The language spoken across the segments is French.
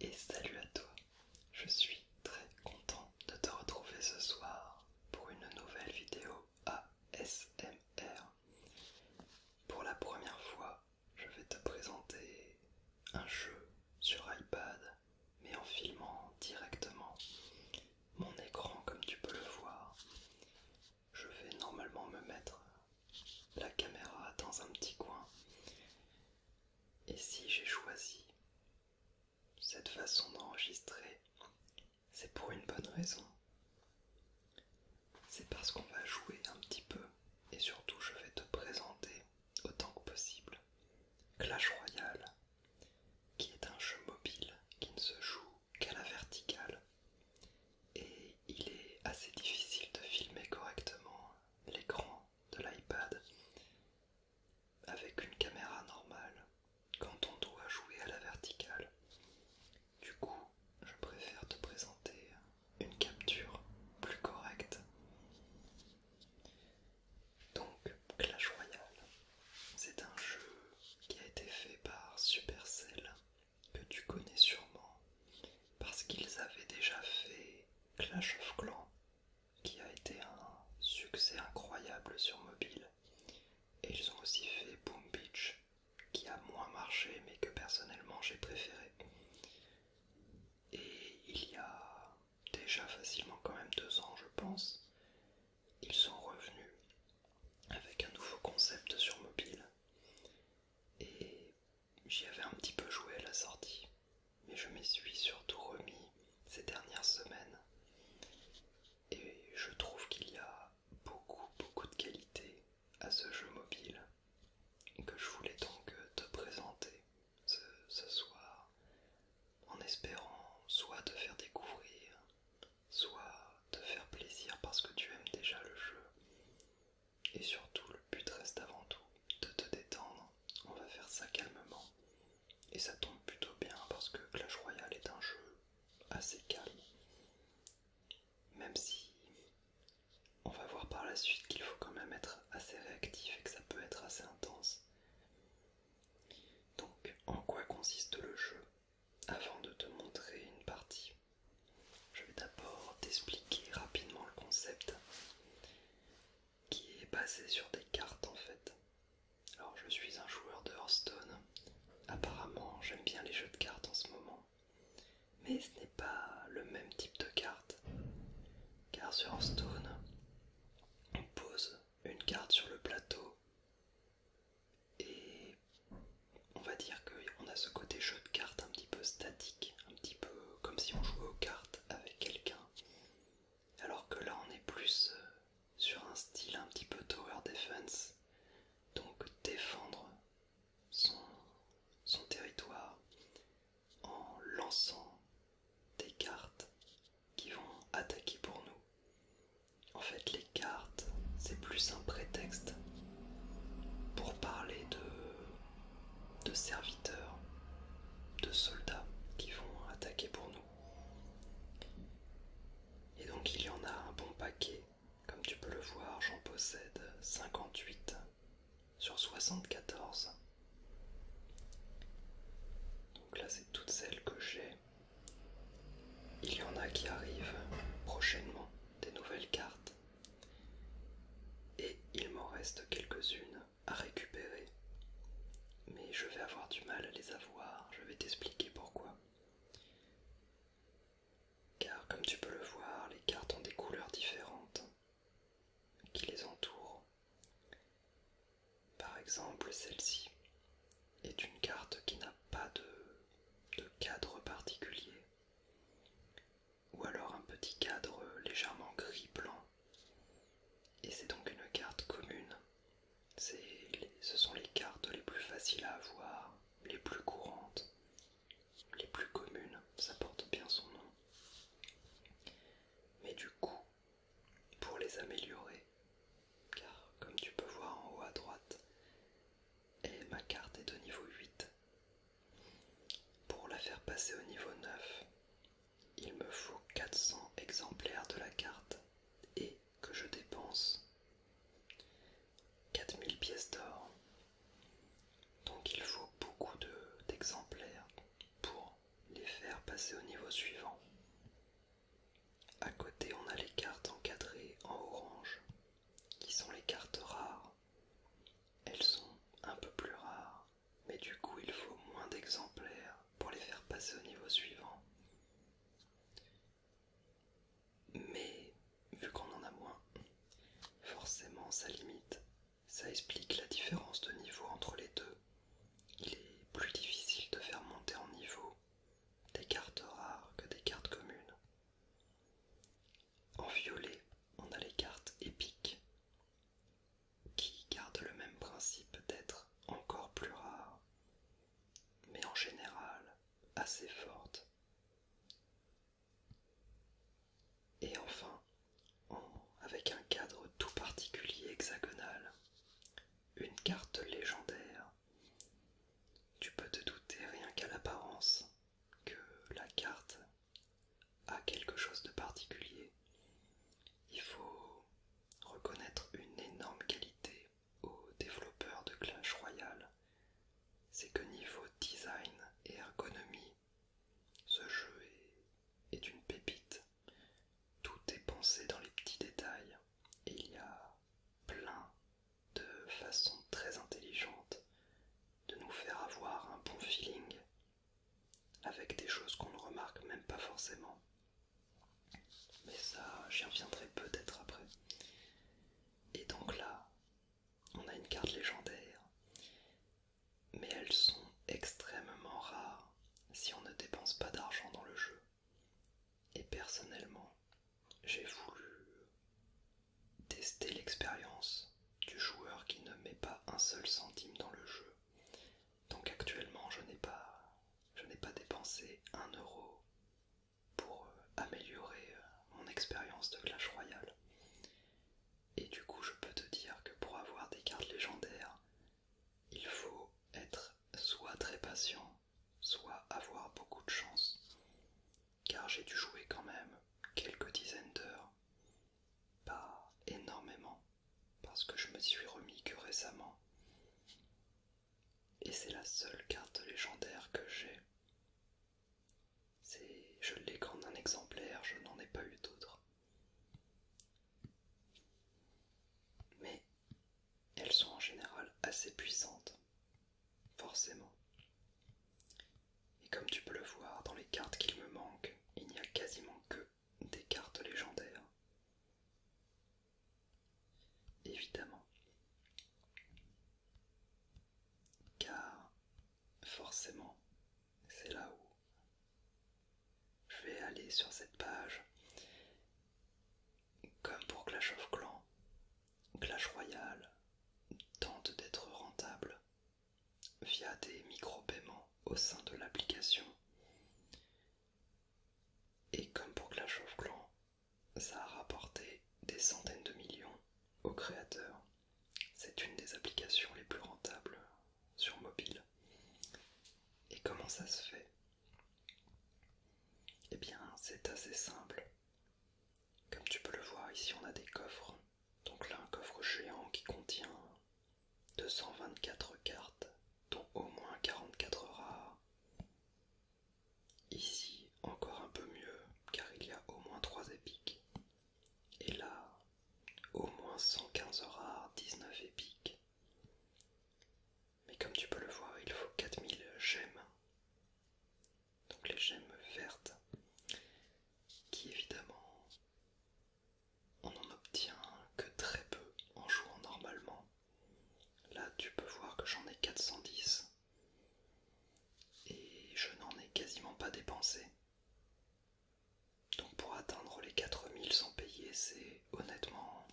Et salut à toi, je suis très content de te retrouver ce soir pour une nouvelle vidéo ASMR. Pour la première fois, je vais te présenter un jeu sur iPad, mais en filmant directement mon écran comme tu peux le voir. Je vais normalement me mettre la caméra dans un petit coin. Et si j'ai choisi cette façon d'enregistrer, c'est pour une bonne raison. C'est parce qu'on va jouer un petit peu et surtout je vais te présenter autant que possible Clash Royale, qui est un jeu mobile qui ne se joue qu'à la verticale et il est assez difficile de filmer correctement l'écran de l'iPad avec une caméra normale quand on doit jouer à la verticale. Du coup, je préfère te présenter une capture plus correcte. Donc Clash Royale, c'est un jeu qui a été fait par Supercell, que tu connais sûrement, parce qu'ils avaient déjà fait Clash of Clans, qui a été un succès incroyable sur mobile. Et ils ont aussi fait Boom Beach, qui a moins marché mais que personnellement j'ai préféré. Et il y a déjà facilement quand même deux ans, je pense, ils sont revenus avec un nouveau concept sur mobile. Et j'y avais un petit peu joué à la sortie, mais je m'y suis surtout remis ces dernières semaines. Et je trouve qu'il y a beaucoup beaucoup de qualité à ce jeu mobile que je voulais donc euh, te présenter ce, soir en espérant soit te faire découvrir, soit te faire plaisir parce que tu aimes déjà le jeu. Et surtout, le but reste avant tout de te détendre. On va faire ça calmement. Et ça tombe plutôt bien parce que Clash Royale est un jeu assez calme. Même si on va voir par la suite qu'il faut quand même être assez réactif et que ça peut être assez intense. Donc, en quoi consiste le jeu Avant de te montrer une partie, je vais d'abord t'expliquer rapidement le concept qui est basé sur des cartes en fait. Alors, je suis un joueur de Hearthstone. Apparemment, j'aime bien les jeux de cartes en ce moment. Mais ce pas le même type de carte. Car sur stone on pose une carte sur le plateau et on va dire qu'on a ce côté jeu de cartes un petit peu statique, un petit peu comme si on jouait aux cartes avec quelqu'un. Alors que là, on est plus euh, sur un style un petit peu tower defense, donc défendre son territoire, en lançant des cartes qui vont attaquer pour nous. En fait, les cartes, c'est plus un prétexte pour parler de, de serviteurs, de soldats qui vont attaquer pour nous. Et donc il y en a un bon paquet, comme tu peux le voir, j'en possède 58 sur 74. Donc là, c'est toutes celles que j'ai. Il y en a qui arrivent prochainement, des nouvelles cartes. Et il m'en reste quelques-unes à récupérer. Mais je vais avoir du mal à les avoir, je vais t'expliquer pourquoi. Car comme tu peux le voir, les cartes ont des couleurs différentes qui les entourent. Par exemple, celle-ci est une carte qui n'a pas de, cadre particulier, ou alors un petit cadre légèrement gris-blanc, et c'est donc une carte commune. ce sont les cartes les plus faciles à avoir, les plus courantes, les plus communes, ça porte bien son nom mais du coup, pour les améliorer. Car comme tu peux voir en haut à droite, et ma carte est au niveau 8. Pour la faire passer au niveau 9, il me faut 400 exemplaires de la carte et que je dépense 4000 pièces d'or. Donc il faut beaucoup d'exemplaires pour les faire passer au niveau suivant. À côté, on a les cartes encadrées en orange, qui sont les cartes rares. Elles sont un peu plus rares, mais du coup, il faut moins d'exemplaires pour les faire passer au niveau suivant. Mais vu qu'on en a moins, forcément ça limite ça explique la différence de niveau entre les deux. Il est plus difficile de faire monter en niveau des cartes rares que des cartes communes. En violet, on a les cartes épiques qui gardent le même principe d'être encore plus rares, mais en général assez fortes et enfin, avec un cadre tout particulier hexagonal, une carte légendaire. Tu peux te douter rien qu'à l'apparence que la carte a quelque chose de particulier. Il faut reconnaître une énorme qualité aux développeurs de Clash Royale, c'est que niveau design et ergonomie, ce jeu est, une pépite. Tout est pensé dans les petits détails. Et il y a plein de façons très intelligentes de nous faire avoir un bon feeling avec des choses qu'on ne remarque même pas forcément. Mais ça, j'y reviendrai peut-être après. Et donc là, on a une carte légendaire mais elles sont extrêmement rares si on ne dépense pas d'argent dans le jeu. Et personnellement, j'ai voulu tester l'expérience du joueur qui ne met pas un seul centime dans le jeu. Donc actuellement, je n'ai pas, dépensé un euro pour euh, améliorer euh, mon expérience de Clash Royale. Et du coup, je peux te dire que pour avoir des cartes légendaires, il faut être soit très patient, soit avoir beaucoup de chance, car j'ai dû jouer quand même quelques dizaines d'heures, pas énormément, parce que je me suis remis que récemment. Et c'est la seule carte légendaire que j'ai. Je l'ai comme un exemplaire, je n'en ai pas eu d'autre. Mais elles sont en général assez puissantes, forcément. Et comme tu peux le voir, dans les cartes qu'il me manque, il n'y a quasiment que des cartes légendaires. Évidemment. Car forcément, c'est là où Je vais aller sur cette page. Comme pour Clash of Clans, Clash Royale tente d'être rentable via des micro au sein de l'application. Et comme pour Clash of Clans, ça a rapporté des centaines de millions aux créateurs. C'est une des applications les plus rentables sur mobile. Et comment ça se fait Eh bien, c'est assez simple. Comme tu peux le voir, ici on a des coffres. Donc là, un coffre géant qui contient 224 cartes, dont au moins 44 rares. Ici, encore un peu mieux, car il y a au moins 3 épiques. Et là, au moins 115 rares, 19 épiques, mais comme tu peux le voir, il faut 4000 gemmes. Donc les gemmes vertes, qui évidemment, on n'en obtient que très peu en jouant normalement. Là, tu peux voir que j'en ai 410 et je n'en ai quasiment pas dépensé. Donc pour atteindre les 4000 sans payer, c'est honnêtement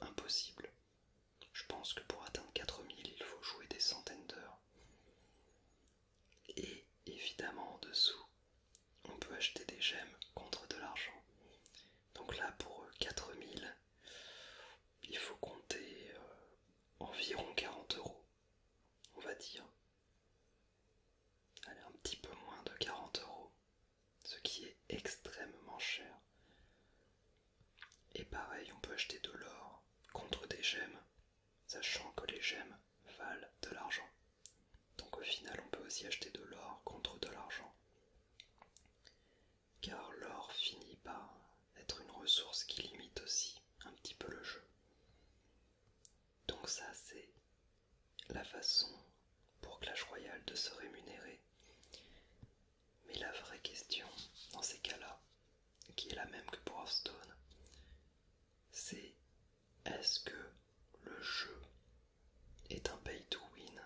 impossible. Je pense que pour atteindre 4000, il faut jouer des centaines d'heures. Et évidemment en dessous, on peut acheter des gemmes contre de l'argent. Donc là pour 4000, euh, il faut compter euh, environ 40 euros, on va dire. Allez, un petit peu moins de 40 euros ce qui est extrêmement cher. Et pareil, on peut acheter de l'or contre des gemmes, sachant que les gemmes valent de l'argent. Donc au final, on peut aussi acheter de l'or contre de l'argent. Car l'or finit par être une ressource qui limite aussi un petit peu le jeu. Donc ça, c'est la façon pour Clash Royale de se rémunérer. Mais la vraie question dans ces cas-là, qui est la même que pour Hearthstone, c'est est-ce que le jeu est un pay to win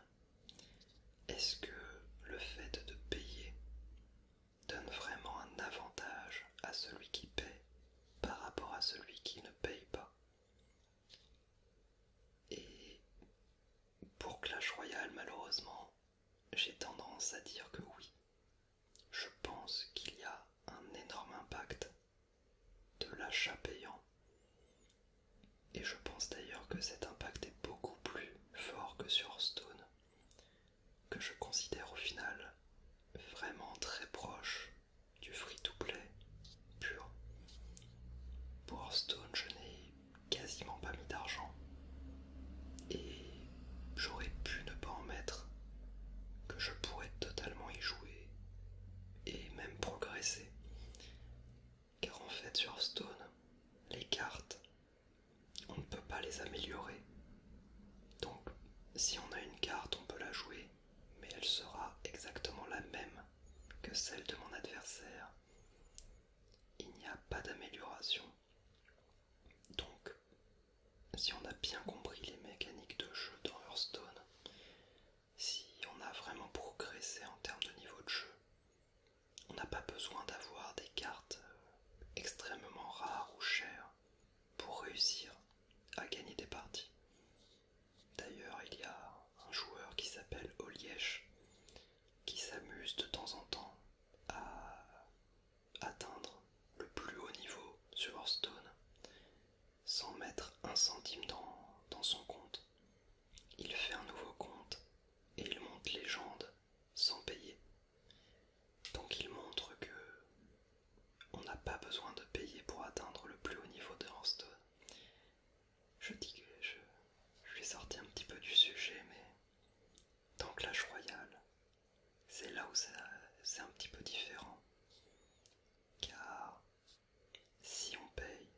Est-ce que le fait de payer donne vraiment un avantage à celui qui paie par rapport à celui qui ne paye pas et pour Clash Royale, malheureusement, j'ai tendance à dire que oui. Je pense qu'il y a un énorme impact de l'achat payant. Et je pense d'ailleurs que cet impact est beaucoup plus fort que sur Stone, que je considère au final vraiment très proche du free to play pur. Pour Hearthstone, je n'ai quasiment pas mis d'argent et j'aurais pu ne pas en mettre, que je pourrais totalement y jouer et même progresser. Car en fait, sur Hearthstone, les cartes, on ne peut pas les améliorer. Donc, si on a une carte, on peut la jouer, mais elle sera exactement la même que celle de mon adversaire, il n'y a pas d'amélioration. Donc, si on a bien compris les mécaniques de jeu dans Hearthstone, si on a vraiment progressé en termes de niveau de jeu, on n'a pas besoin d'avoir des cartes euh, extrêmement rares ou chères pour réussir à gagner des parties. D'ailleurs, il y a un joueur qui s'appelle Oliesh qui s'amuse de temps en temps à atteindre le plus haut niveau sur Hearthstone sans mettre un centime dans, son compte. Il fait un nouveau compte et il monte légende sans payer. Donc il montre que on n'a pas besoin de payer pour atteindre le plus haut niveau de Hearthstone je dis je, je vais sorti un petit peu du sujet, mais dans Clash Royale, c'est là où c'est un petit peu différent. Car si on paye,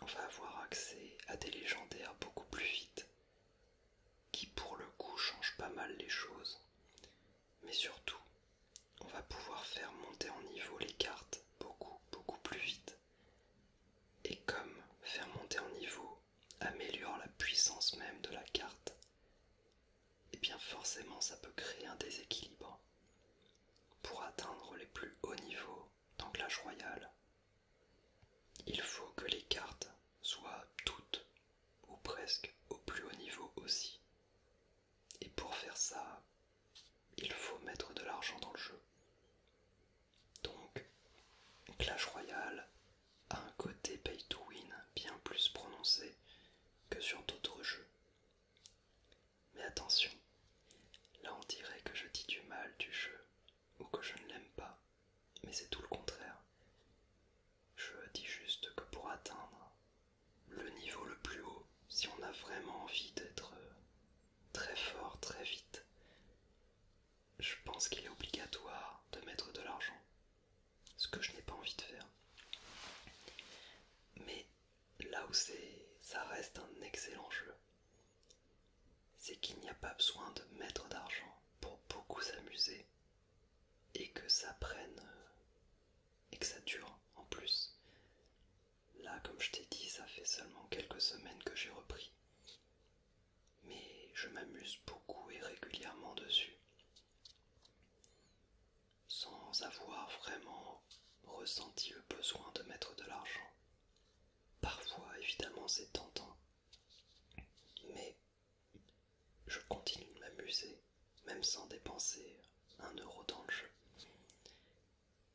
on va avoir accès à des légendaires beaucoup plus vite, qui pour le coup changent pas mal les choses. Mais surtout, on va pouvoir faire monter en niveau les cartes beaucoup, beaucoup plus vite et comme faire monter en niveau améliore la puissance même de la carte, et eh bien forcément ça peut créer un déséquilibre. Pour atteindre les plus hauts niveaux la royal, il faut que les cartes soient toutes ou presque au plus haut niveau aussi. Et pour faire ça, il faut mettre de l'argent dans le jeu. Donc, Clash Royale a un côté pay to win bien plus prononcé que sur d'autres jeux. Mais attention, là on dirait que je dis du mal du jeu ou que je ne l'aime pas, mais c'est tout le contraire. Je dis juste que pour atteindre le niveau le plus haut, si on a vraiment envie d'être euh, très fort, très vite. Je pense qu'il est obligatoire de mettre de l'argent, ce que je n'ai pas envie de faire. Mais là où ça reste un excellent jeu, c'est qu'il n'y a pas besoin de mettre d'argent pour beaucoup s'amuser et que ça prenne et que ça dure en plus. Là, comme je t'ai dit, ça fait seulement quelques semaines que j'ai repris. Mais je m'amuse beaucoup et régulièrement dessus. Sans avoir vraiment ressenti le besoin de mettre de l'argent. Parfois, évidemment, c'est tentant. Mais je continue de m'amuser, même sans dépenser un euro dans le jeu.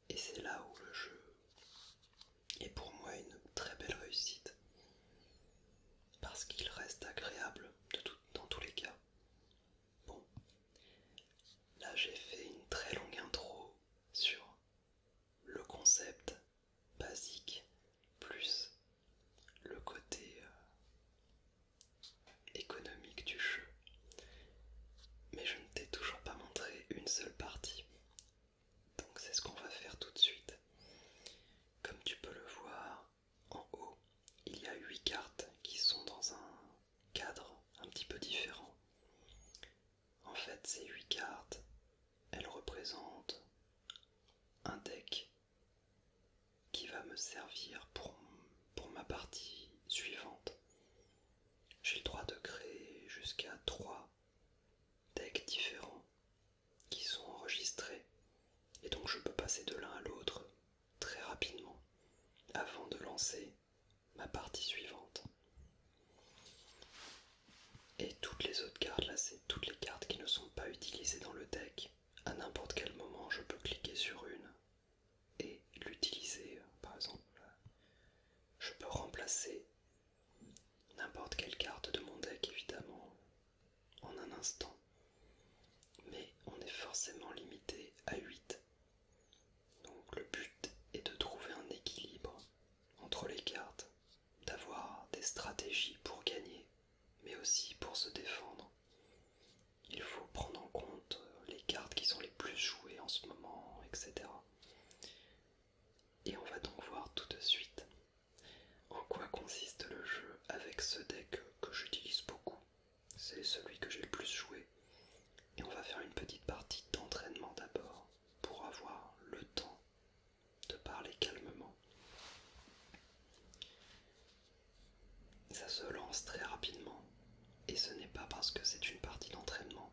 Et c'est là où le jeu est pour moi une très belle réussite. Parce qu'il reste agréable dans tous les cas. Bon, là j'ai fait une très longue intro sur le concept basique plus le côté euh, économique du jeu mais je ne t'ai toujours pas montré une seule partie. Donc c'est ce qu'on va faire tout de suite. Comme tu peux le voir en haut, il y a 8 cartes qui sont dans un cadre un petit peu différent. En fait, ces 8 cartes, elles représentent un deck qui va me servir pour, pour ma partie suivante. J'ai le droit de créer jusqu'à trois decks différents qui sont enregistrés et donc je peux passer de l'un à l'autre très rapidement avant de lancer ma partie suivante. Et toutes les autres cartes, là c'est toutes les cartes qui ne sont pas utilisées dans le deck. À n'importe quel moment je peux cliquer sur une et l'utiliser. Par exemple, je peux remplacer N'importe quelle carte de mon deck, évidemment, en un instant. Mais on est forcément limité à 8. Donc le but est de trouver un équilibre entre les cartes, d'avoir des stratégies pour gagner, mais aussi pour se défendre. Il faut prendre en compte les cartes qui sont les plus jouées en ce moment, etc. Et on va donc voir tout de suite en quoi consiste le jeu avec ce deck que j'utilise beaucoup. C'est celui que j'ai le plus joué. Et on va faire une petite partie d'entraînement d'abord pour avoir le temps de parler calmement. Ça se lance très rapidement et ce n'est pas parce que c'est une partie d'entraînement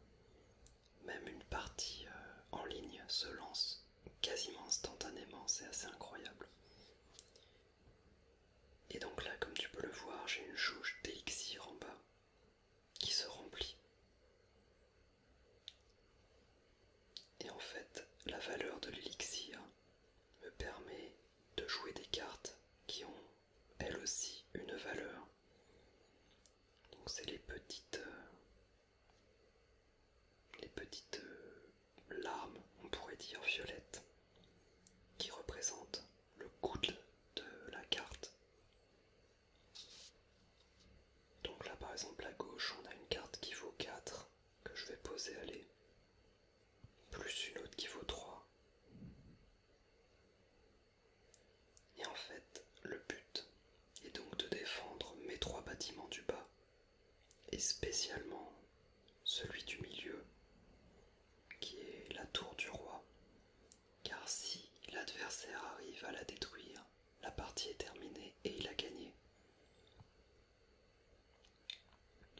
même une partie euh, en ligne se lance quasiment instantanément, c'est assez incroyable. Et donc là, comme tu peux le voir, j'ai une jauge d'élixir en bas qui se remplit. Et en fait, la valeur de l'élixir me permet de jouer des cartes qui ont elles aussi une valeur donc c'est les petites euh, les petites euh, larmes, on pourrait dire violettes, qui représentent le coude de la carte. Donc là par exemple à gauche on a une carte qui vaut 4 que je vais poser à aller plus une autre qui vaut 3 et en fait, le but est donc de défendre mes trois bâtiments du bas, et spécialement celui du milieu, qui est la tour du roi, car si l'adversaire arrive à la détruire, la partie est terminée et il a gagné.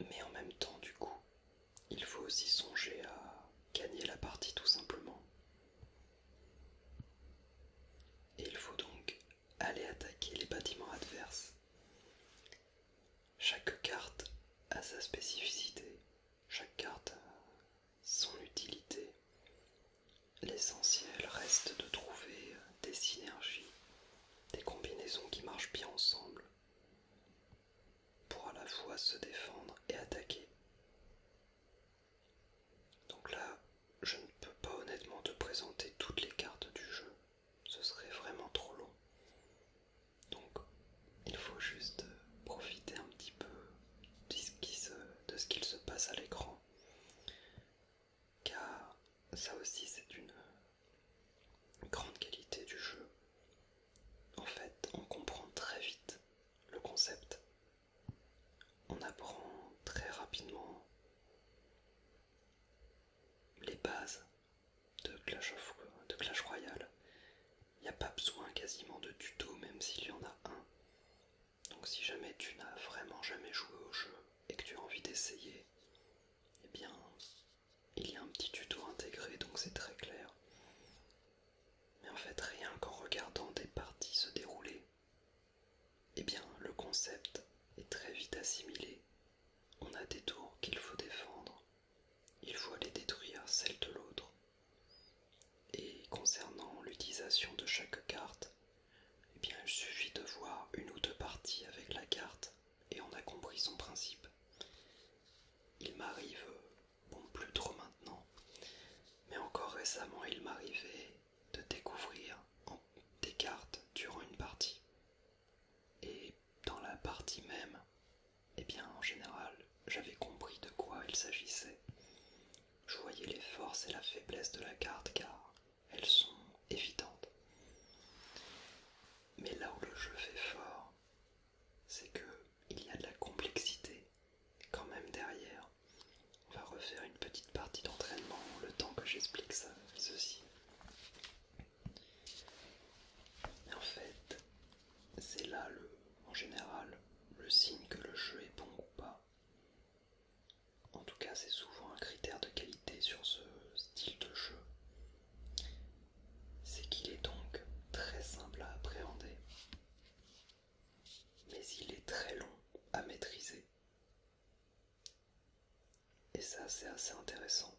Mais en même temps, du coup, il faut aussi songer à gagner la partie tout simplement il faut donc aller attaquer les bâtiments adverses. Chaque carte a sa spécificité, chaque carte a son utilité. L'essentiel reste de trouver euh, des synergies, des combinaisons qui marchent bien ensemble pour à la fois se défendre et attaquer. Donc là, je ne peux pas honnêtement te présenter toutes les cartes du jeu. Ce serait vraiment trop long. Donc, il faut juste profiter un petit peu de ce qu'il se, passe à l'écran. Car ça aussi, c'est une grande qualité du jeu. En fait, on comprend très vite le concept on apprend très rapidement les bases de Clash, of, de Clash Royale. Il n'y a pas besoin quasiment de tuto, même s'il y en a un. Donc si jamais tu n'as vraiment jamais joué au jeu et que tu as envie d'essayer, eh bien, il y a un petit tuto intégré, donc c'est très clair. Mais en fait, rien qu'en regardant des parties se dérouler, eh bien, le concept est très vite assimilé. On a des tours qu'il faut défendre. Il faut aller détruire celles de l'autre. Et concernant l'utilisation de chaque carte, eh bien, il suffit de voir une ou deux parties avec la carte et on a compris son principe. Il m'arrive, bon plus trop maintenant, mais encore récemment il m'arrivait de découvrir des cartes durant une partie. Et dans la partie même, et eh bien en général, j'avais compris de quoi il s'agissait. Je voyais les forces et la faiblesse de la carte car elles sont évidentes. Mais là où le jeu fait fort, c'est qu'il y a de la complexité quand même derrière, on va refaire une petite partie d'entraînement le temps que j'explique ça, ceci. en fait, c'est là le, en général le signe que le jeu est bon ou pas. En tout cas, c'est souvent un critère de qualité sur ce style de jeu. C'est qu'il est donc très simple à appréhender mais il est très long à maîtriser. Et ça, c'est assez intéressant.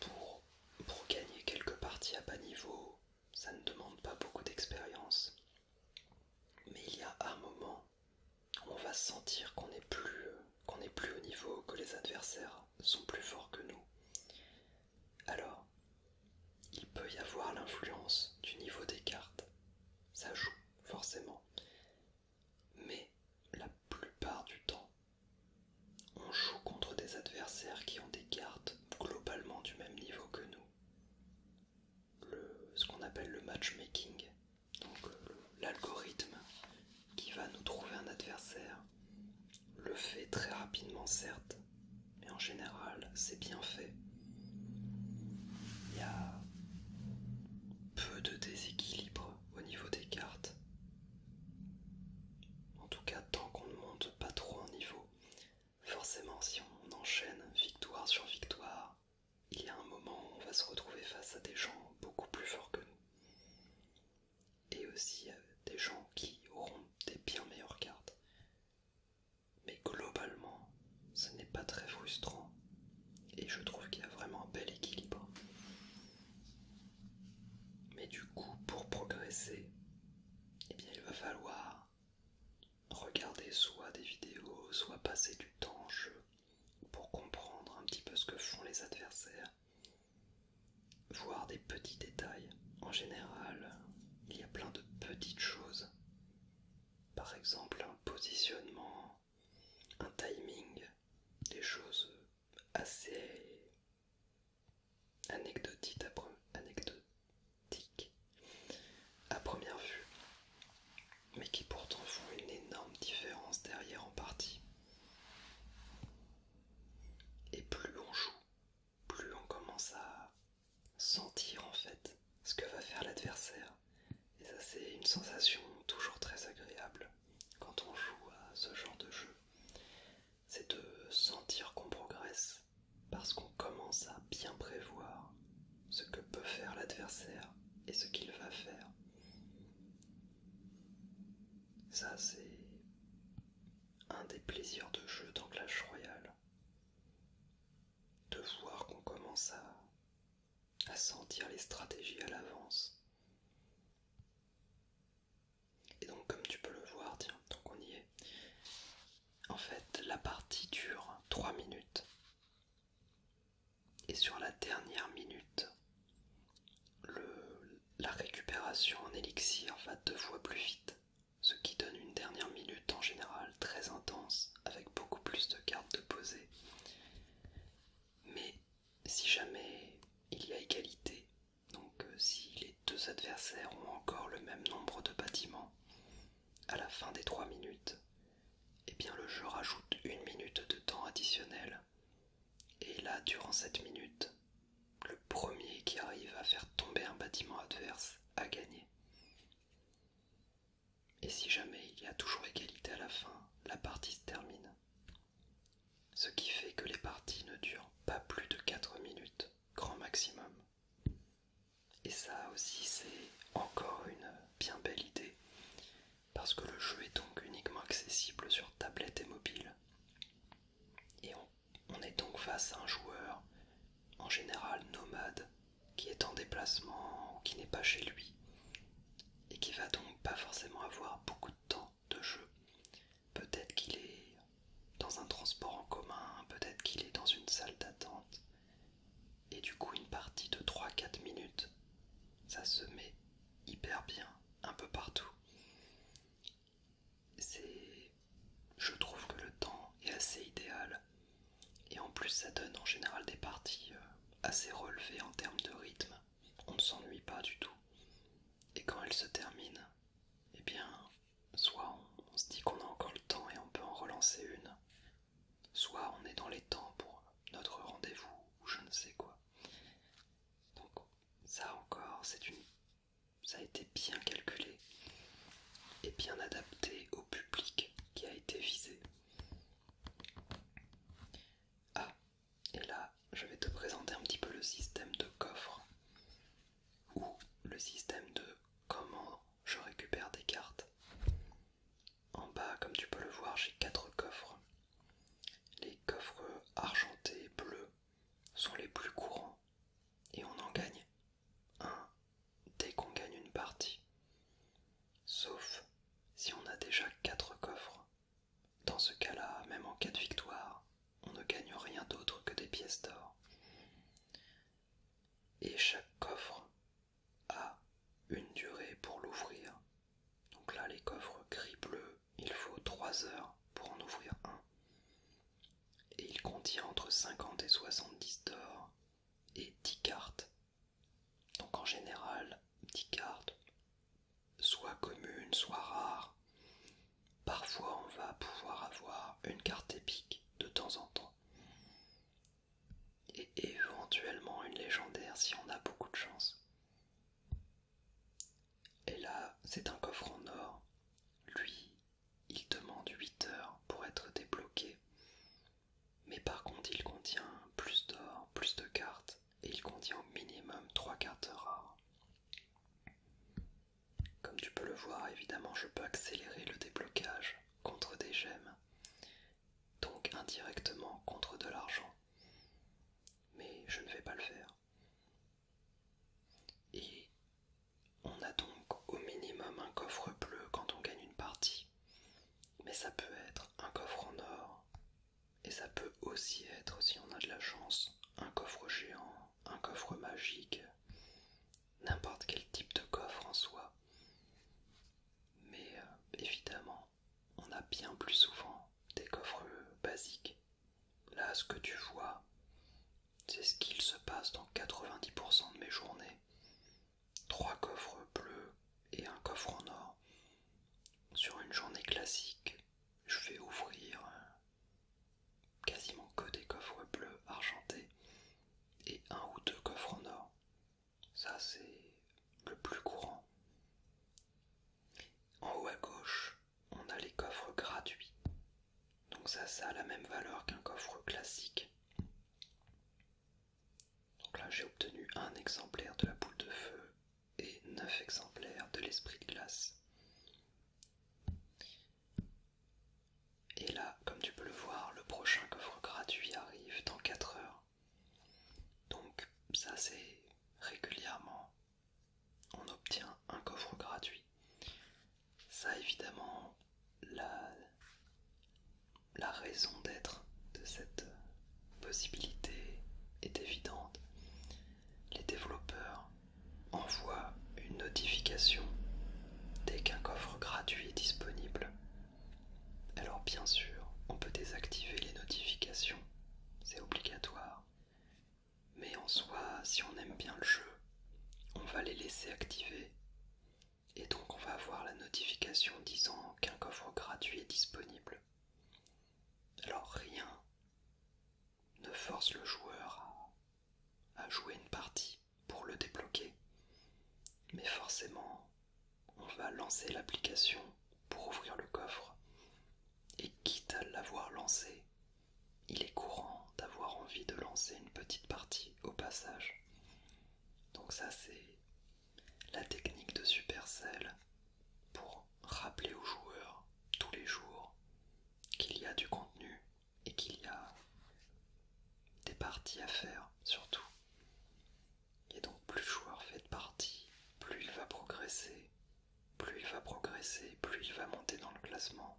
Pour, gagner quelques parties à bas niveau, ça ne demande pas beaucoup d'expérience. Mais il y a un moment où on va sentir qu'on est plus, qu'on n'est plus au niveau, que les adversaires sont plus forts que nous. Alors, il peut y avoir l'influence du niveau des cartes, ça joue forcément, mais la plupart du temps, on joue contre des adversaires qui ont des cartes globalement du même niveau que nous. ce qu'on appelle le matchmaking, donc euh, l'algorithme qui va nous trouver un adversaire le fait très rapidement certes, mais en général c'est bien fait. Il y a peu de déséquilibre au niveau des cartes. En tout cas tant qu'on ne monte pas trop en niveau. Forcément si on enchaîne victoire sur victoire, il y a un moment où on va se retrouver face à des gens beaucoup plus forts que nous. Et aussi euh, des gens qui auront des bien meilleures cartes. Mais globalement, ce n'est pas très frustrant et je trouve qu'il y a vraiment un bel équilibre. Mais du coup, pour progresser, eh bien, il va falloir regarder soit des vidéos, soit passer du temps en jeu pour comprendre un petit peu ce que font les adversaires, voir des petits détails. En général, il y a plein de petites choses. Par exemple un positionnement, un timing, des choses assez anecdotiques à, première vue, mais qui pourtant font une énorme différence derrière en partie. Et plus on joue, plus on commence à sentir en fait ce que va faire l'adversaire. Et ça c'est une sensation toujours très agréable quand on joue à ce genre de jeu. C'est de sentir qu'on progresse parce qu'on commence à bien prévoir ce que peut faire l'adversaire et ce qu'il va faire. Ça c'est un des plaisirs de jeu dans Clash Royale de voir qu'on commence à, sentir les stratégies à l'avance. Et donc comme tu peux le voir, tiens, donc on y est. En fait, la partie dure 3 minutes. Et sur la dernière minute, la récupération en élixir va deux fois plus vite ce qui donne une dernière minute en général très intense avec beaucoup plus de cartes de poser. Mais si jamais il y a égalité, donc euh, si les deux adversaires ont encore le même nombre de bâtiments, à la fin des trois minutes, et eh bien le jeu rajoute une minute de temps additionnel. Et là, durant cette minute, le premier qui arrive à faire tomber un bâtiment adverse a gagné. Et si jamais il y a toujours égalité à la fin, la partie se termine. Ce qui fait que les parties ne durent pas plus de 4 minutes, grand maximum. Et ça aussi c'est encore une bien belle idée, parce que le jeu est donc uniquement accessible sur tablette et mobile. On est donc face à un joueur, en général nomade, qui est en déplacement qui n'est pas chez lui, et qui va donc pas forcément avoir beaucoup de temps de jeu. Peut-être qu'il est dans un transport en commun, peut-être qu'il est dans une salle d'attente, et du coup une partie de 3-4 minutes, ça se met hyper bien un peu partout. C'est je trouve que le temps est assez idéal et en plus ça donne en général des parties euh, assez relevées en termes de rythme. On ne s'ennuie pas du tout. Et quand elle se termine, eh bien, soit on, se dit qu'on a encore le temps et on peut en relancer une, soit on est dans les temps pour notre rendez-vous ou je ne sais quoi. Donc ça encore, c'est une, ça a été bien calculé et bien adapté au public qui a été visé. Ah, et là, je vais te présenter un petit peu le système de coffre ou le système de comment je récupère des cartes. En bas, comme tu peux le voir, j'ai quatre coffres. Les coffres argentés et bleus sont les plus courants et on en gagne un dès qu'on gagne une partie, sauf si on a déjà quatre coffres. Dans ce cas-là, même en cas de victoire, on ne gagne rien d'autre que des pièces d'or. Et chaque coffre a une durée pour l'ouvrir. Donc là, les coffres gris-bleu, il faut 3 heures pour en ouvrir un. Et il contient entre 50 et 70 d'or et 10 cartes. Donc en général, 10 cartes, soit communes, soit rares. Parfois on va pouvoir avoir une carte épique de temps en temps. Et éventuellement une légendaire si on a beaucoup de chance. Et là, c'est un coffre en or. Lui, il demande 8 heures pour être débloqué. Mais par contre, il contient plus d'or, plus de cartes, et il contient au minimum 3 cartes rares. Comme tu peux le voir, évidemment, je peux accélérer le déblocage contre des gemmes, donc indirectement contre de l'argent. Mais je ne vais pas le faire. Et on a donc au minimum un coffre bleu quand on gagne une partie, mais ça peut être un coffre en or, et ça peut aussi être, si on a de la chance, un coffre géant, un coffre magique, n'importe quel type de coffre en soi. Mais euh, évidemment, on a bien plus souvent des coffres euh, basiques. Là, ce que tu vois, c'est ce qu'il se passe dans 90% de mes journées. 3 coffres bleus et un coffre en or. Sur une journée classique, je vais ouvrir euh, quasiment que des coffres bleus argentés et un ou deux coffres en or. Ça, c'est le plus courant. En haut à gauche, on a les coffres gratuits. Donc ça, ça a la même valeur qu'un coffre classique. Donc là j'ai obtenu un exemplaire de la boule de feu et 9 exemplaires de l'esprit de glace. Et là, comme tu peux le voir, le prochain coffre gratuit arrive dans 4 heures. Donc ça c'est régulièrement, on obtient un coffre gratuit ça évidemment la, raison d'être de cette possibilité est évidente. Les développeurs envoient une notification dès qu'un coffre gratuit est disponible. Alors bien sûr, on peut désactiver les notifications, c'est obligatoire. Mais en soi, si on aime bien le jeu, on va les laisser activer et donc on va avoir la notification disant qu'un coffre gratuit est disponible. Alors rien ne force le joueur à, jouer une partie pour le débloquer. Mais forcément, on va lancer l'application pour ouvrir le coffre. Et quitte à l'avoir lancé, il est courant d'avoir envie de lancer une petite partie au passage. Donc ça c'est la technique de Supercell pour rappeler aux joueurs tous les jours qu'il y a du contenu et qu'il y a des parties à faire surtout. Et donc plus le joueur fait de parties, plus il va progresser, plus il va progresser, plus il va monter dans le classement,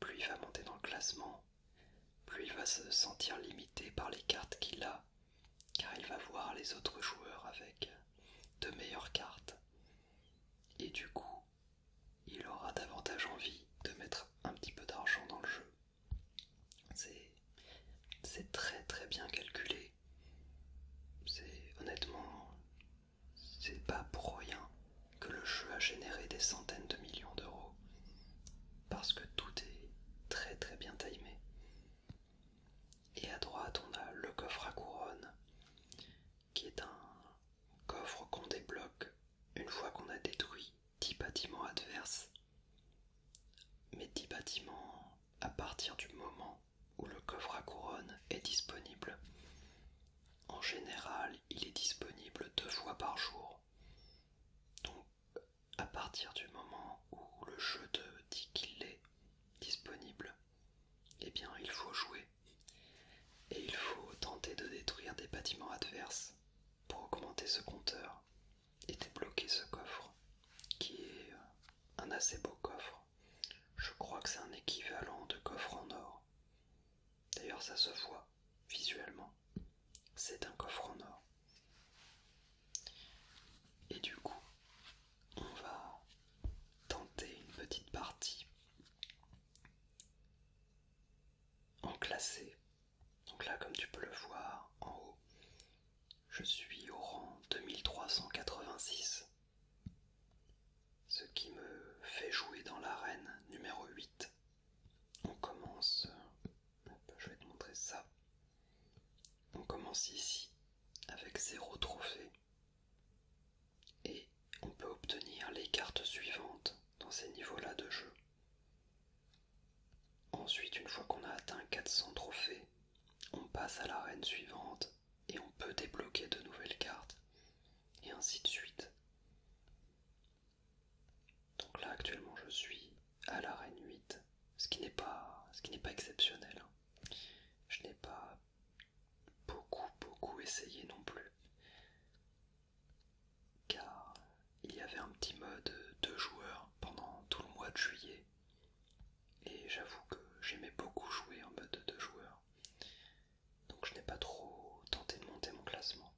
plus il va monter dans le classement, plus il va se sentir limité par les cartes qu'il a, car il va voir les autres joueurs avec de meilleures cartes. Et du coup, il aura davantage envie de mettre un petit peu d'argent dans le jeu. C'est très très bien calculé. C'est honnêtement, c'est pas pour rien que le jeu a généré des centaines de millions d'euros parce que tout est très très bien timé. Et à droite, on a le coffre à couronne qui est un coffre qu'on débloque une fois qu'on a détruit 10 bâtiments adverses. Mais 10 bâtiments à partir du moment où le coffre à couronne est disponible. En général, il est disponible deux fois par jour. Donc à partir du moment où le jeu te dit qu'il est disponible, eh bien il faut jouer et il faut tenter de détruire des bâtiments adverses pour augmenter ce compteur et débloquer ce coffre qui est euh, un assez beau coffre. Je crois que c'est un équivalent de coffre en or. D'ailleurs ça se voit visuellement, c'est un coffre en or. Et du coup, on va tenter une petite partie en classé. Donc là, comme tu peux le voir en haut, je suis au rang 2386, ce qui me fait jouer dans l'arène numéro 8. On commence bah, bah, je vais te montrer ça. On commence ici avec 0 trophée et on peut obtenir les cartes suivantes dans ces niveaux-là de jeu. Ensuite, une fois qu'on a atteint 400 trophées, on passe à l'arène suivante et on peut débloquer de nouvelles cartes et ainsi de suite. Donc là actuellement je suis à la reine 8, ce qui n'est pas, pas exceptionnel. Hein. Je n'ai pas beaucoup beaucoup essayé non plus. Car il y avait un petit mode deux joueurs pendant tout le mois de juillet. Et j'avoue que j'aimais beaucoup jouer en mode de deux joueurs. Donc je n'ai pas trop tenté de monter mon classement.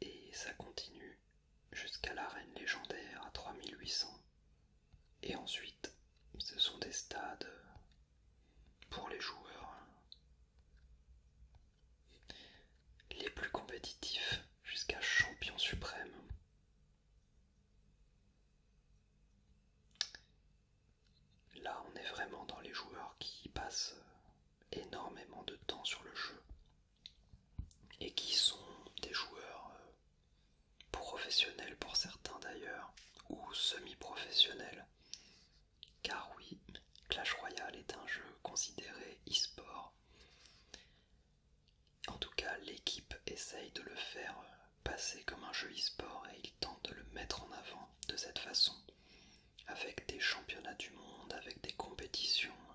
Et ça continue jusqu'à la légendaire à 3800. Et ensuite, ce sont des stades pour les joueurs les plus compétitifs jusqu'à champion suprême. Là, on est vraiment dans les joueurs qui passent énormément de temps sur le jeu et qui sont des joueurs euh, professionnels pour certains d'ailleurs, ou semi-professionnels. Car oui, Clash Royale est un jeu considéré e-sport. En tout cas, l'équipe essaye de le faire euh, passer comme un jeu e-sport et ils tentent de le mettre en avant de cette façon, avec des championnats du monde, avec des compétitions euh,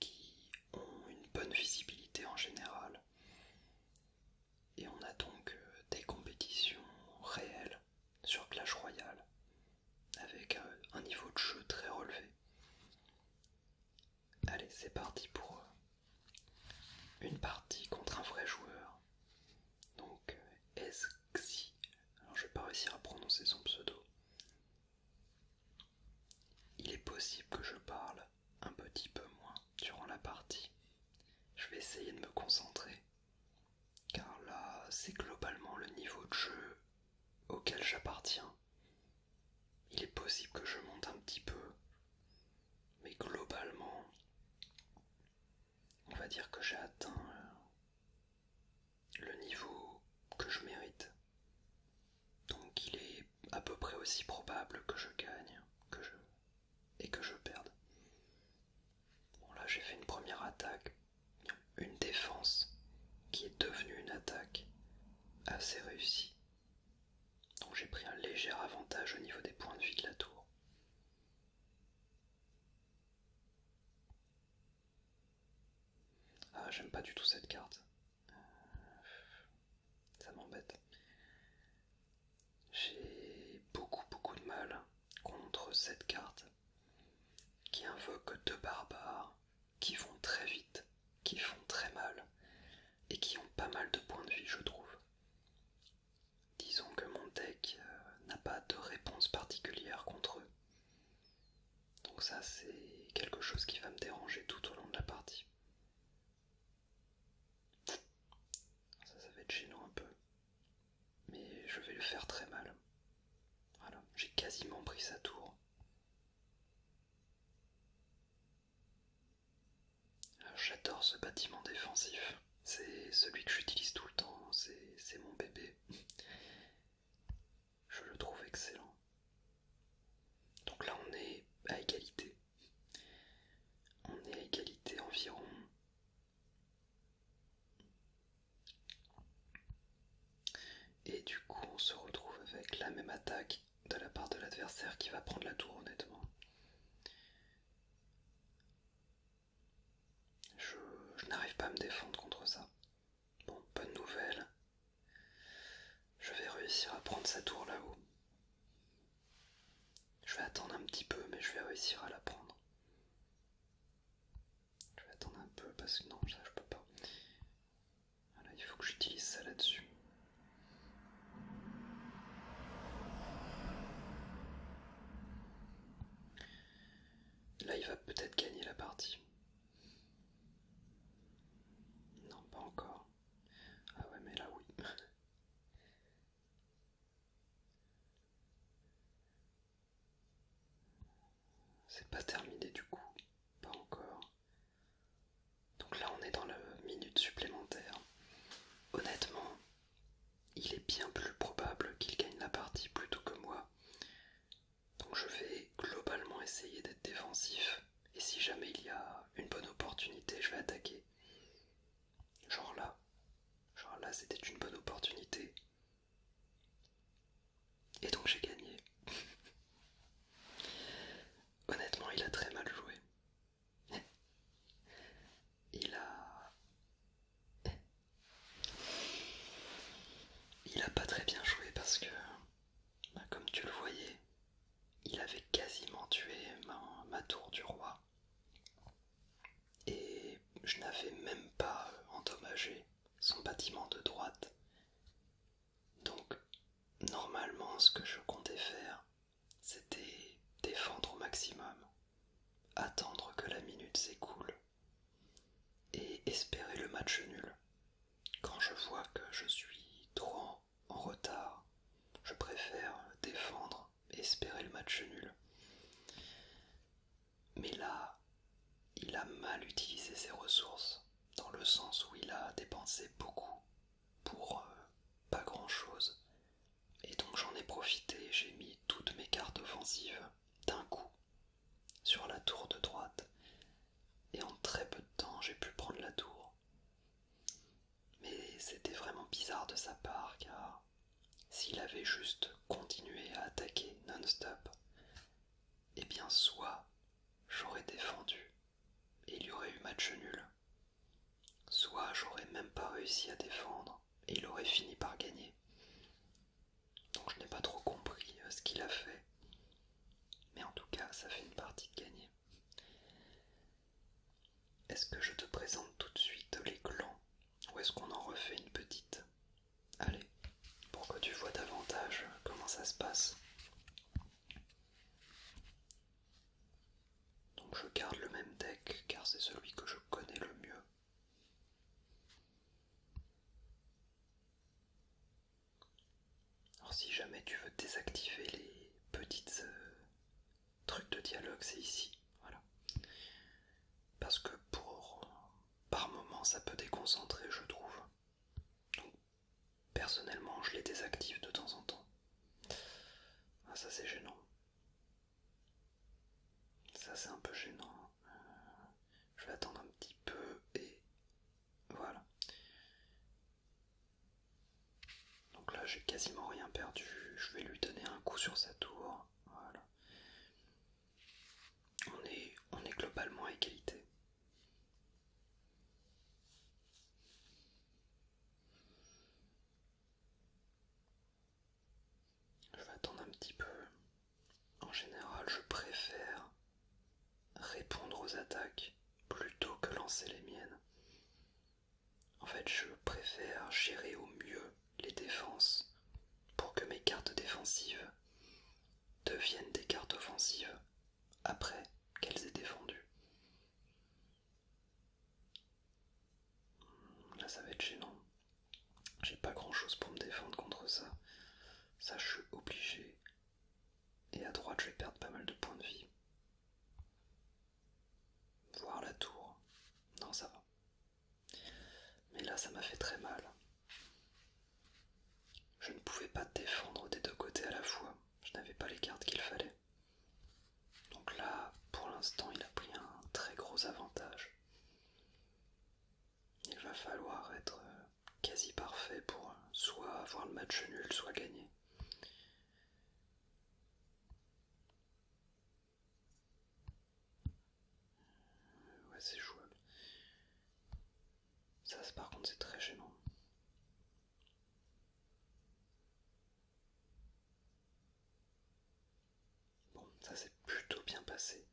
qui ont une bonne visibilité en général. Et on a donc euh, des compétitions réelles sur Clash Royale, avec euh, un niveau de jeu très relevé. Allez, c'est parti pour euh, une partie contre un vrai joueur. Donc, est-ce Xi. Alors je vais pas réussir à prononcer son pseudo. Il est possible que je parle un petit peu moins durant la partie. Je vais essayer de me concentrer. Car là, c'est globalement le niveau de jeu auquel j'appartiens. Il est possible que je monte un petit peu. Mais globalement, on va dire que j'ai atteint euh, le niveau que je mérite. Donc il est à peu près aussi probable que je gagne et que je perde. Bon là j'ai fait une première attaque, une défense qui est devenue une attaque assez réussie. Donc j'ai pris un léger avantage au niveau des points de vie de la tour. Ah, j'aime pas du tout cette carte. ça m'embête. J'ai beaucoup beaucoup de mal contre cette carte qui invoque deux barbares qui vont très vite, qui font très mal et qui ont pas mal de points de vie, je trouve. Disons que mon deck euh, n'a pas de réponse particulière contre eux. Donc ça c'est quelque chose qui va me déranger tout au long de la partie. Ça, ça va être gênant un peu. Mais je vais le faire très mal. Voilà, j'ai quasiment pris sa tour. J'adore ce bâtiment défensif. C'est celui que j'utilise tout le temps. C'est mon bébé. Je le trouve excellent. Donc là, on est à égalité. On est à égalité environ. Et du coup, on se retrouve avec la même attaque de la part de l'adversaire qui va prendre la tour, honnêtement. Je, n'arrive pas à me défendre contre ça. Bon, bonne nouvelle. Je vais réussir à prendre sa tour là-haut. Je vais attendre un petit peu, mais je vais réussir à la prendre. Je vais attendre un peu parce que non, ça je peux pas. Voilà, il faut que j'utilise ça là-dessus. Là, il va peut-être gagner la partie. Non, pas encore. Ah ouais, mais là oui. C'est pas terminé du coup, pas encore. Donc là on est dans la minute supplémentaire. Honnêtement, il est bien plus probable qu'il gagne la partie plutôt que moi. Donc je vais globalement essayer d'être défensif. Et si jamais il y a une bonne opportunité, je vais attaquer. Genre là. Genre là, c'était une bonne opportunité. Et donc j'ai gagné. Honnêtement, il a très mal joué. Il a... Il a pas très bien joué parce que bah, comme tu le voyais, il avait quasiment tué ma, tour du roi. Et je n'avais même pas endommagé son bâtiment de droite. Donc, normalement, ce que je comptais faire, c'était défendre au maximum, attendre que la minute s'écoule et espérer le match nul. Quand je vois que je suis trop en retard, je préfère défendre et espérer le match nul. Mais là, il a mal utilisé ses ressources, dans le sens où il a dépensé beaucoup pour euh, pas grand-chose. Et donc j'en ai profité, j'ai mis toutes mes cartes offensives d'un coup sur la tour de droite, et en très peu de temps j'ai pu prendre la tour. Mais c'était vraiment bizarre de sa part car s'il avait juste continué à attaquer non-stop, eh bien soit j'aurais défendu et il y aurait eu match nul, soit j'aurais même pas réussi à défendre et il aurait fini par gagner. Donc je n'ai pas trop compris euh, ce qu'il a fait. Mais en tout cas, ça fait une partie de gagner. Est-ce que je te présente tout de suite les clans ou est-ce qu'on en refait une petite Allez, pour que tu vois davantage comment ça se passe. Donc je garde le même deck car c'est celui que je connais le mieux. Alors si jamais tu veux désactiver les petites euh, trucs de dialogue, c'est ici. Voilà. Parce que pour par moment ça peut déconcentrer, je trouve. Donc personnellement je les désactive de temps en temps. Ah, ça c'est gênant. Ça c'est un peu gênant. Euh, je vais attendre un petit peu et voilà. Donc là, j'ai quasiment rien perdu. Je vais lui donner un coup sur sa tour. Voilà. On est, on est globalement à égalité. Je vais attendre un petit peu. En général, je préfère répondre aux attaques plutôt que lancer les miennes. En fait, je préfère gérer au mieux les défenses pour que mes cartes défensives deviennent des cartes offensives après qu'elles aient défendu. Hmm, là, ça va être gênant. J'ai pas grand chose pour me défendre contre ça. Ça, je suis obligé et à droite, je vais perdre pas mal de points de vie. Voir la tour. Non, ça va. Mais là, ça m'a fait très mal. Je ne pouvais pas défendre des deux côtés à la fois. Je n'avais pas les cartes qu'il fallait. Donc là, pour l'instant, il a pris un très gros avantage. Il va falloir être euh, quasi parfait pour euh, soit avoir le match nul, soit gagner. Ouais, c'est jouable. Ça, par contre, c'est très gênant. Bon, ça s'est plutôt bien passé.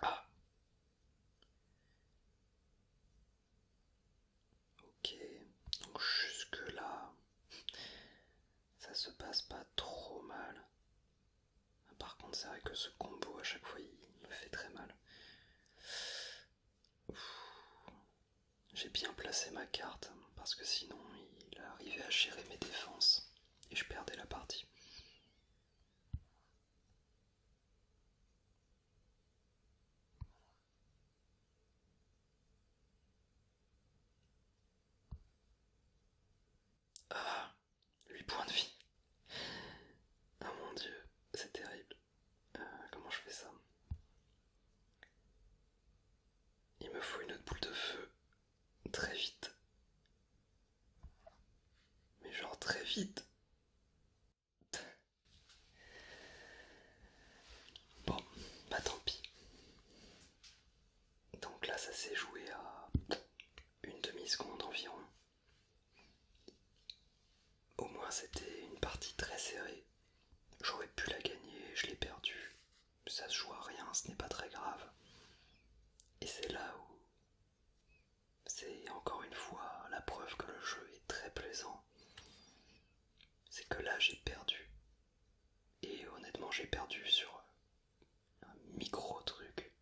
Ah. Ok, donc jusque là, ça se passe pas trop mal. Par contre, c'est vrai que ce combo à chaque fois, il me fait très mal. J'ai bien placé ma carte parce que sinon, il arrivait à gérer mes défenses et je perdais la partie. Ah, huit points de vie. Ah mon dieu, c'est terrible. Euh, comment je fais ça Il me faut une autre boule de feu très vite. Mais genre très vite. Bon, bah tant pis. Donc là, ça s'est joué à une demi-seconde environ. Au moins, c'était une partie très serrée. J'aurais pu la gagner, je l'ai perdue. Ça se joue à rien, ce n'est pas très grave. Et c'est là où c'est encore une fois la preuve que le jeu est très plaisant. C'est que là j'ai perdu. Et honnêtement j'ai perdu sur un micro truc.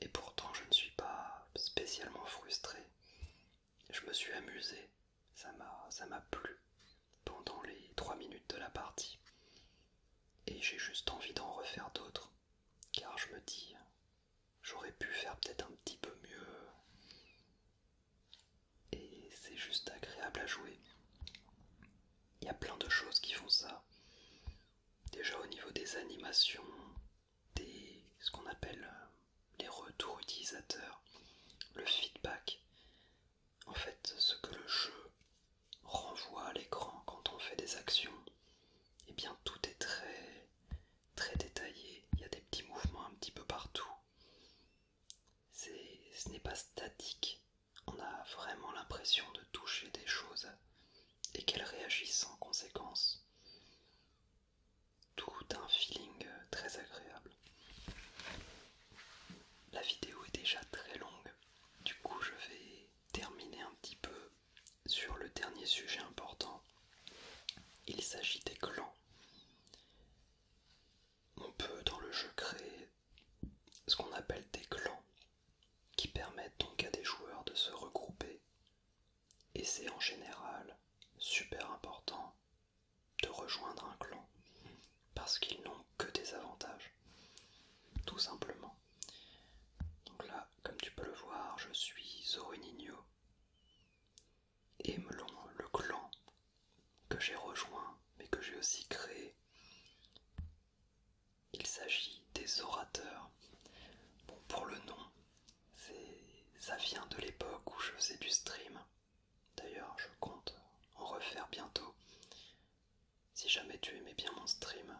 Et pourtant je ne suis pas spécialement frustré. Je me suis amusé. Ça m'a plu pendant les 3 minutes de la partie. Et j'ai juste envie d'en refaire d'autres car je me dis, j'aurais pu faire peut-être un petit peu mieux. Et c'est juste agréable à jouer. Il y a plein de choses qui font ça. Déjà au niveau des animations, des ce qu'on appelle euh, les retours utilisateurs, le feedback. En fait, ce que le jeu renvoie à l'écran quand on fait des actions, eh bien tout est très très détaillé. Il y a des petits mouvements un petit peu partout. Ce n'est pas statique. On a vraiment l'impression de toucher des choses et qu'elles réagissent en conséquence. Tout un feeling euh, très agréable. La vidéo est déjà très longue, du coup je vais terminer un petit peu sur le dernier sujet important, il s'agit des clans. On peut dans le jeu créer ce qu'on appelle des clans, qui permettent donc à des joueurs de se regrouper, et c'est en général super important de rejoindre un clan, parce qu'ils n'ont que des avantages, tout simplement. Donc là, comme tu peux le voir, je suis Zorinigno et Melon, le clan que j'ai rejoint mais que j'ai aussi créé. Il s'agit des orateurs. Bon, pour le nom, ça vient de l'époque où je faisais du stream. D'ailleurs, je compte en refaire bientôt. Si jamais tu aimais bien mon stream,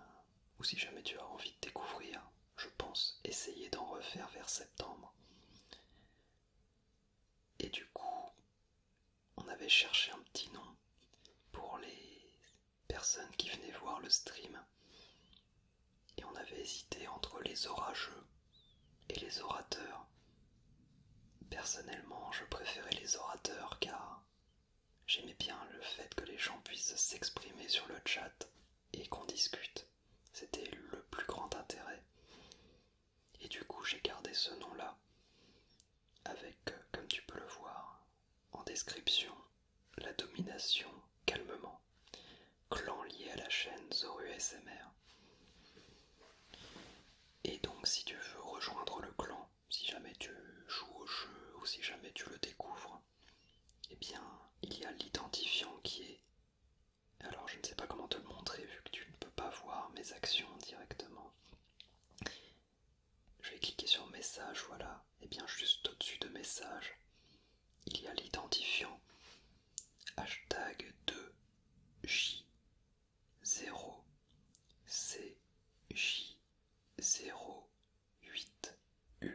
ou si jamais tu as envie de découvrir, je pense essayer d'en refaire vers septembre. Et du coup, on avait cherché un petit nom pour les personnes qui venaient voir le stream. Et on avait hésité entre les orageux et les orateurs. Personnellement, je préférais les orateurs car J'aimais bien le fait que les gens puissent s'exprimer sur le chat et qu'on discute. C'était le plus grand intérêt. Et du coup, j'ai gardé ce nom-là, avec, euh, comme tu peux le voir, en description, la domination calmement, clan lié à la chaîne Zoru SMR. Et donc, si tu veux rejoindre le clan, si jamais tu joues au jeu ou si jamais tu le découvres, eh bien, il y a l'identifiant qui est... Alors, je ne sais pas comment te le montrer vu que tu ne peux pas voir mes actions directement. Je vais cliquer sur message, voilà. Et eh bien, juste au-dessus de message, il y a l'identifiant hashtag 2J0CJ0 8U.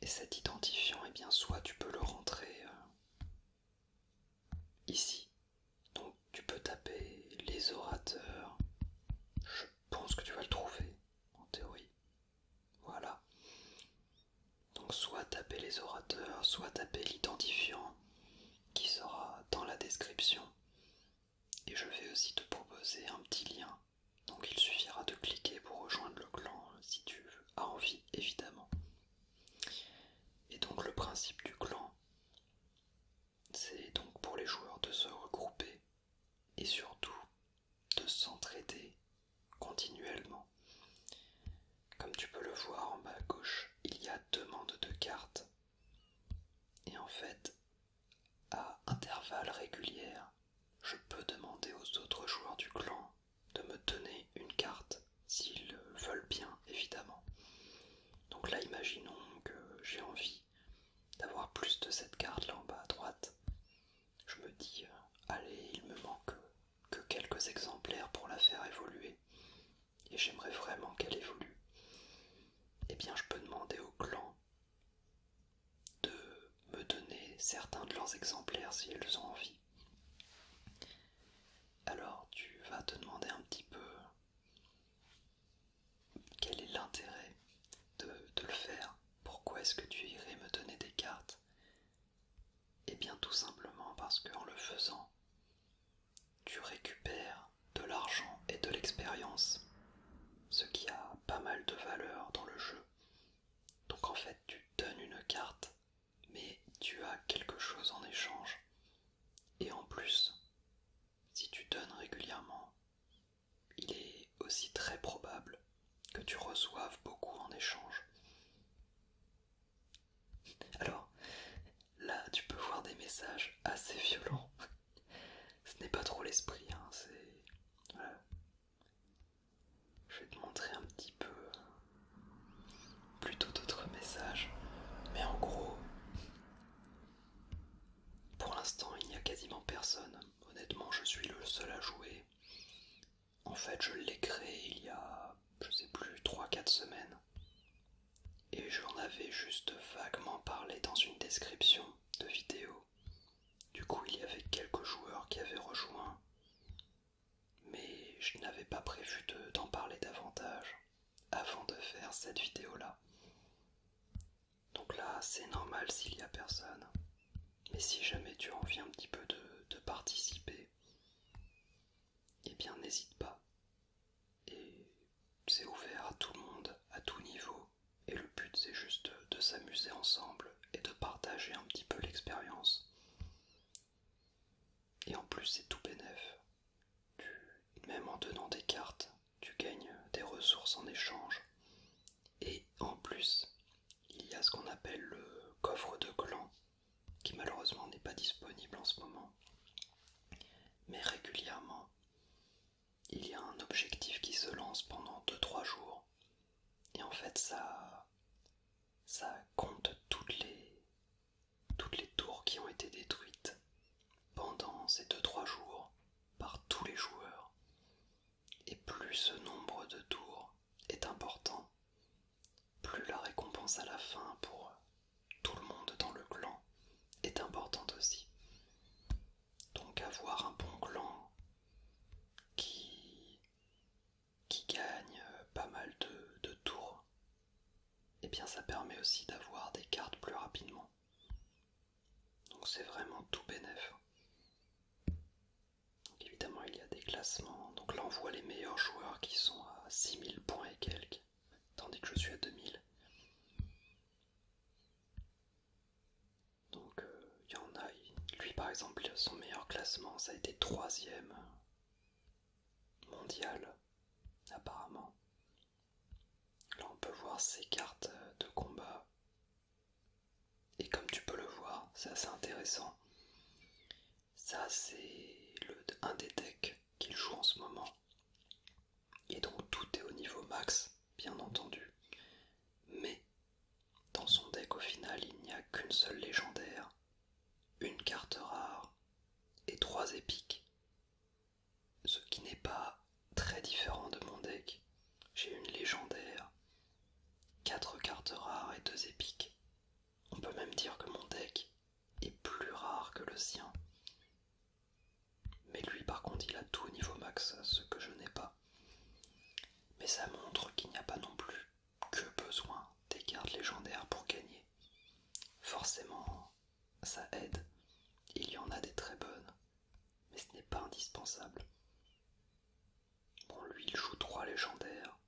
Et cet identifiant, et eh bien, soit tu peux le rentrer euh, ici. Donc tu peux taper les orateurs. Je pense que tu vas le trouver, en théorie. Voilà. Donc soit taper les orateurs, soit taper l'identifiant qui sera dans la description. Et je vais aussi te proposer un petit lien donc il suffira de cliquer pour rejoindre le clan euh, si tu as envie évidemment. Et donc le principe du clan, c'est donc pour les joueurs de se regrouper et surtout de s'entraider continuellement. Comme tu peux le voir en bas à gauche, il y a demande de cartes. Et en fait, à intervalles réguliers, je peux demander aux autres joueurs du clan de me donner une carte, s'ils veulent bien, évidemment. Donc là, imaginons que j'ai envie d'avoir plus de cette carte là en bas à droite. Je me dis, euh, allez, il me manque que quelques exemplaires pour la faire évoluer, et j'aimerais vraiment qu'elle évolue. Eh bien, je peux demander au clan de me donner certains de leurs exemplaires si elles ont envie. Alors tu vas te demander un petit peu quel est l'intérêt de, de le faire, pourquoi est-ce que tu irais me donner des cartes Et eh bien tout simplement parce qu'en le faisant, tu récupères de l'argent et de l'expérience, ce qui a pas mal de valeur dans le jeu, donc en fait, tu donnes une carte, mais tu as quelque chose en échange. Et en plus, si tu donnes régulièrement, il est aussi très probable que tu reçoives beaucoup en échange. Alors, là, tu peux voir des messages assez violents. Ce n'est pas trop l'esprit, hein, c'est... Je vais te montrer un petit peu euh, plutôt d'autres messages, mais en gros, pour l'instant, il n'y a quasiment personne. Honnêtement, je suis le seul à jouer. En fait, je l'ai créé il y a, je sais plus, 3-4 semaines. Et j'en avais juste vaguement parlé dans une description de vidéo. Du coup, il y avait quelques joueurs qui avaient rejoint, mais je n'avais pas prévu d'en parler davantage avant de faire cette vidéo-là. Donc là, c'est normal s'il n'y a personne. Mais si jamais tu as envie un petit peu de, participer, eh bien n'hésite pas. Et c'est ouvert à tout le monde, à tout niveau, et le but c'est juste de s'amuser ensemble et de partager un petit peu l'expérience. Et en plus c'est tout bénef. même en donnant des cartes, tu gagnes des ressources en échange. Et en plus, il y a ce qu'on appelle le coffre de clan, qui malheureusement n'est pas disponible en ce moment. Mais régulièrement, il y a un objectif qui se lance pendant 2-3 jours et en fait, ça, ça compte toutes les, toutes les tours qui ont été détruites pendant ces 2-3 jours par tous les joueurs. Et plus ce nombre de tours est important, plus la récompense à la fin pour tout le monde dans le clan est importante aussi. Donc avoir un bon clan qui qui gagne euh, pas mal de, tours, et eh bien ça permet aussi d'avoir des cartes plus rapidement. Donc c'est vraiment tout bénef. évidemment il y a des classements, donc là on voit les meilleurs joueurs qui sont à 6000 points et quelques, tandis que je suis à 2000. Donc euh, il y en a, lui par exemple, son meilleur classement, ça a été troisième mondial, apparemment. Là on peut voir ses cartes de combat. Et comme tu peux le voir, c'est assez intéressant. Ça c'est un des decks qu'il joue en ce moment. Et donc tout est au niveau max, bien entendu. Mais dans son deck au final il n'y a qu'une seule légendaire, une carte rare et trois épiques. Ce qui n'est pas très différent de mon deck. J'ai une légendaire, quatre cartes rares et deux épiques. On peut même dire que mon deck est plus rare que le sien. Mais lui par contre il a tout au niveau max, ce que je n'ai pas. Mais ça montre qu'il n'y a pas non plus que besoin des cartes légendaires pour gagner. Forcément, ça aide. Il y en a des très bonnes, mais ce n'est pas indispensable. Bon, lui, il joue trois légendaires.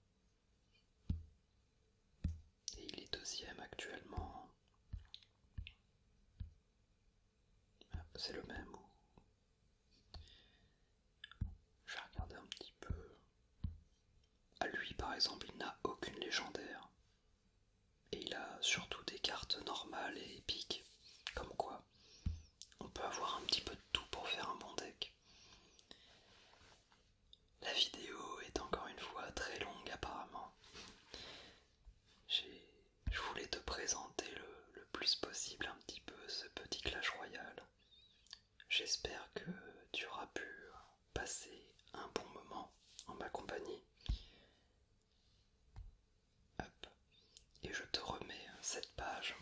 Et il est deuxième actuellement. Ah, c'est le même je vais regarder un petit peu. À lui par exemple, il n'a aucune légendaire. Et il a surtout des cartes normales et épiques. Comme quoi, on peut avoir un petit peu de tout pour faire un bon deck. La vidéo est encore une fois très longue apparemment. Je voulais te présenter le, plus possible un petit peu ce petit Clash royal. J'espère que tu auras pu passer un bon moment en ma compagnie. Et je te remets cette page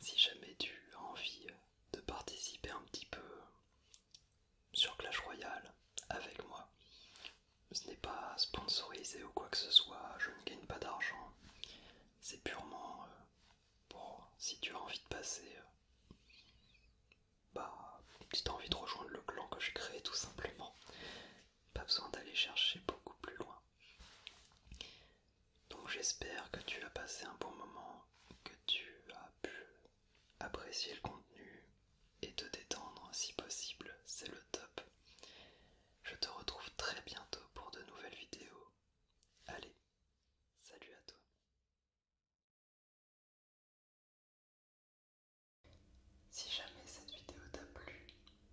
si jamais tu as envie de participer un petit peu sur Clash Royale avec moi. Ce n'est pas sponsorisé ou quoi que ce soit, je ne gagne pas d'argent. C'est purement euh, Bon, si tu as envie de passer, euh, bah, si tu as envie de rejoindre le clan que je crée tout simplement, pas besoin d'aller chercher beaucoup plus loin. Donc j'espère que tu as passé un bon moment, que tu as pu apprécier le contenu et te détendre si possible, c'est le top. Je te retrouve très bientôt pour de nouvelles vidéos. Allez, Salut à toi. Si jamais cette vidéo t'a plu,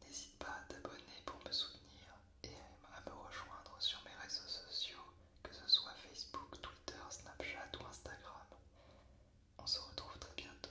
n'hésite pas à t'abonner pour me soutenir et à me rejoindre sur mes réseaux sociaux, que ce soit Facebook, Twitter, Snapchat ou Instagram. On se retrouve très bientôt.